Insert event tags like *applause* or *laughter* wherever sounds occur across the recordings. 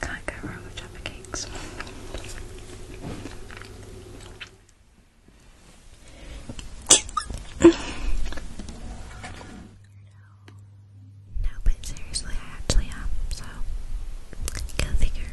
Can't go wrong with Jaffa cakes. no, but seriously, I actually am, so go figure.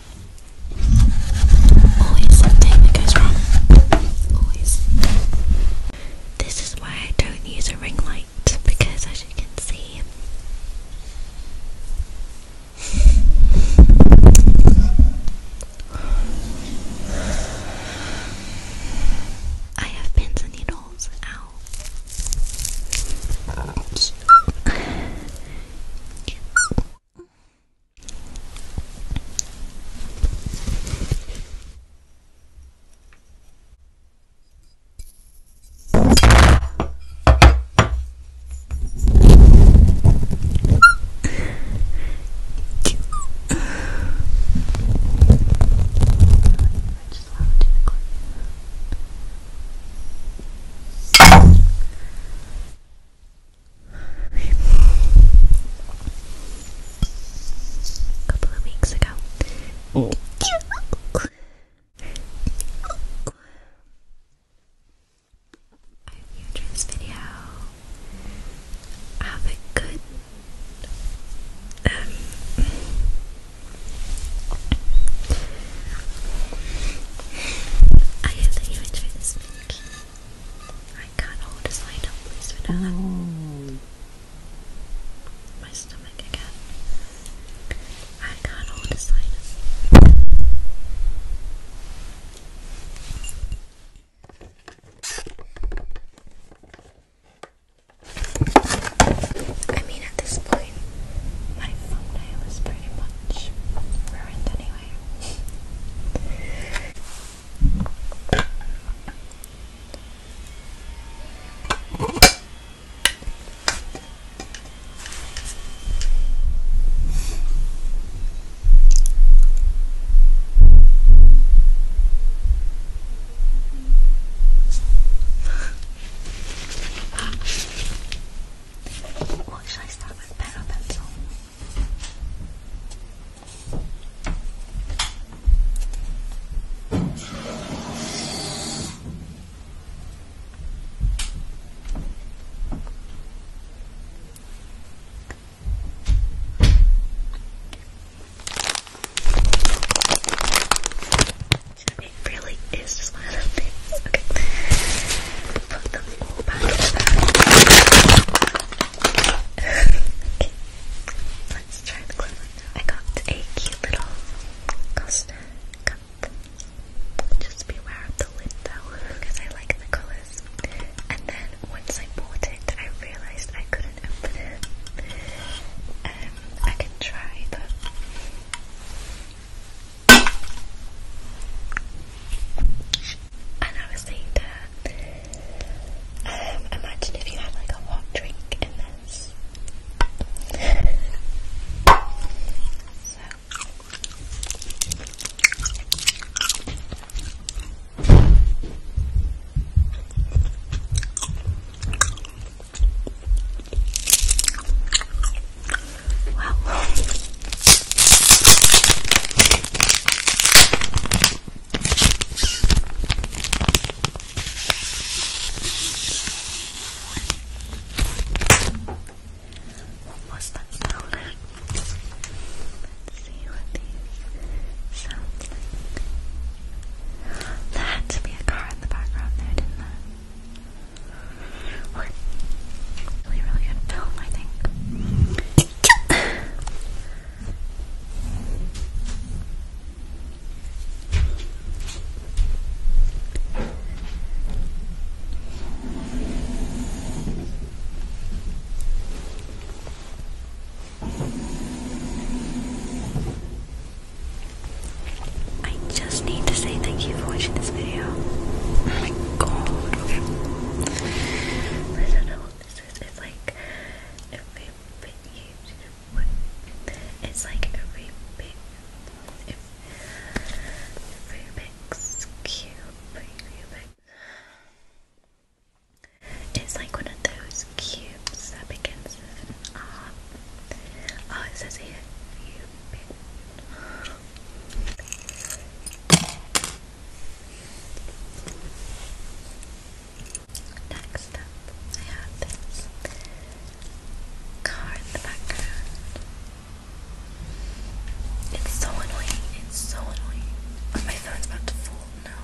Always something that goes wrong. Always. This is why I don't use a ring light because, as you can see, I have pins and needles out. I just love doing the clip. A couple of weeks ago. Oh. I hope you enjoyed this video. Have a good um, I hope you enjoyed this video. I can't hold a slide up, please. Oh. My stomach again. I can't hold a slide I mean, at this point, my thumbnail is pretty much ruined anyway. What should I start with? Pen or pencil? It really is just one of those things. Okay. Put them all back okay. Let's try the glue I got a cute little Costa cup. Just beware of the lid though, because I like the colours. And then once I bought it, I realised I couldn't um, I can try, but. And I was saying um, imagine if you had like a hot drink in this. Wow. Almost done. Let's see what There had to be a car in the background there, didn't there? really, really good film, I think. I just need to say thank you for watching this video. Oh my god, I don't know what this is. It's like a bit Cube it's like one of those cubes that begins with Oh, it says here, Next I have this car in the background. It's so annoying, it's so annoying. Oh, my phone's about to fall now.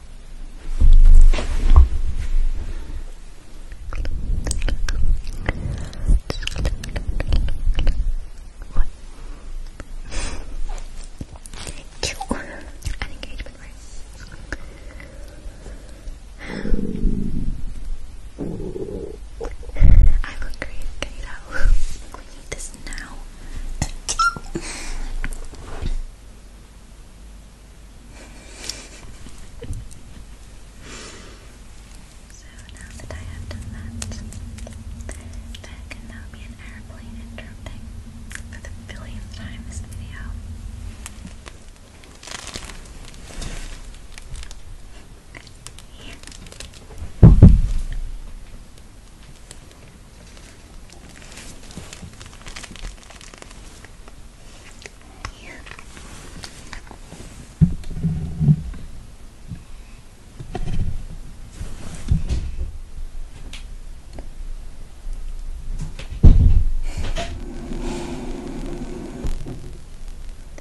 What? An engagement ring. I look great, can you tell? We need this now. So now that I have done that, there can now be an airplane interrupting for the billionth time this video. Here.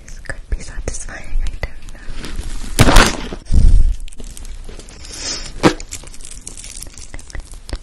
This could be satisfying, I don't know.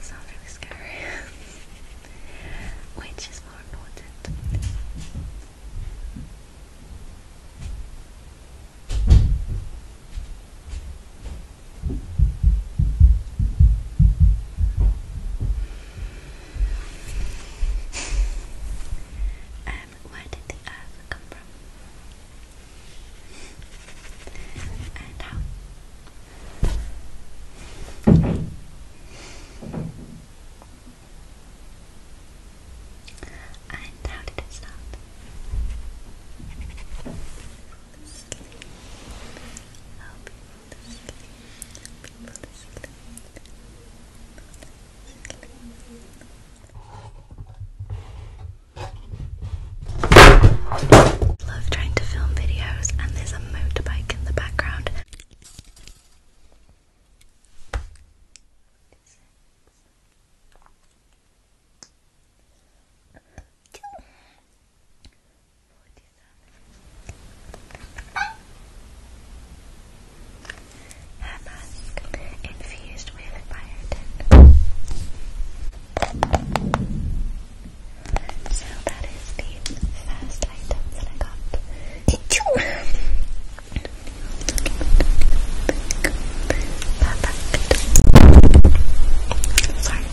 Sounds really scary. *laughs* Which is more important? Um, where did the earth come from? and how? And how did it start? Love trying to film videos, and there's a motorbike in the background hair mask infused with biotin. So that is the first item that I got. Perfect. Sorry.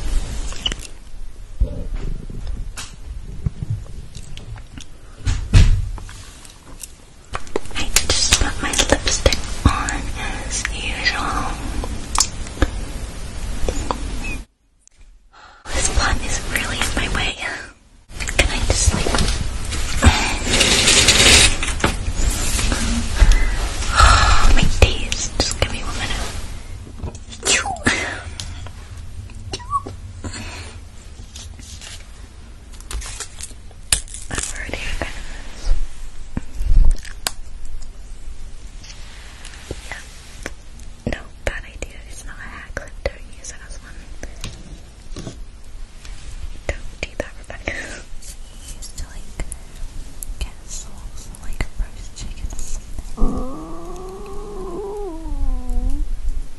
I just put my lipstick on as usual. This plant is really in my way. Can I just like... Oh, *sighs* my days. Just give me one minute i No, bad idea. It's not a hair clip. Don't use it as one. Don't do that, Rebecca. *laughs* used to like get sauce like roast chicken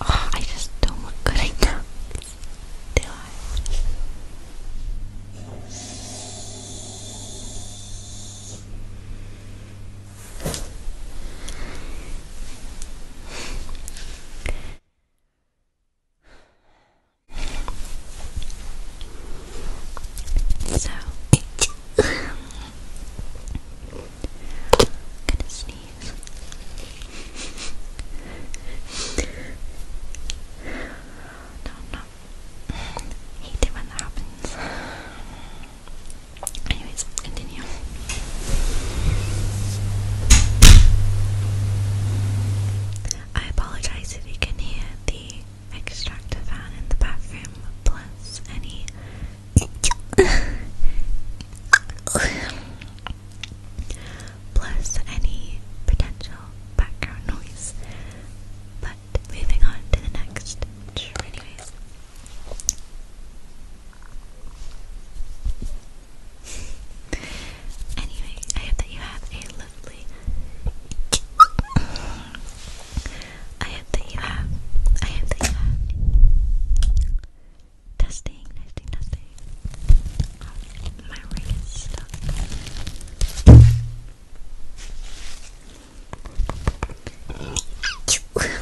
Oh, I just don't look good enough, do I? So, gonna sneeze. no, no. Hate it when that happens. Anyways, continue. I apologize if you can hear the extractor fan in the bathroom, plus any *laughs* Plus any potential background noise. But moving on to the next. Anyways. *laughs* Anyway, I hope that you have a lovely I hope that you have. I hope that you have. Testing, testing, testing. my ring is stuck.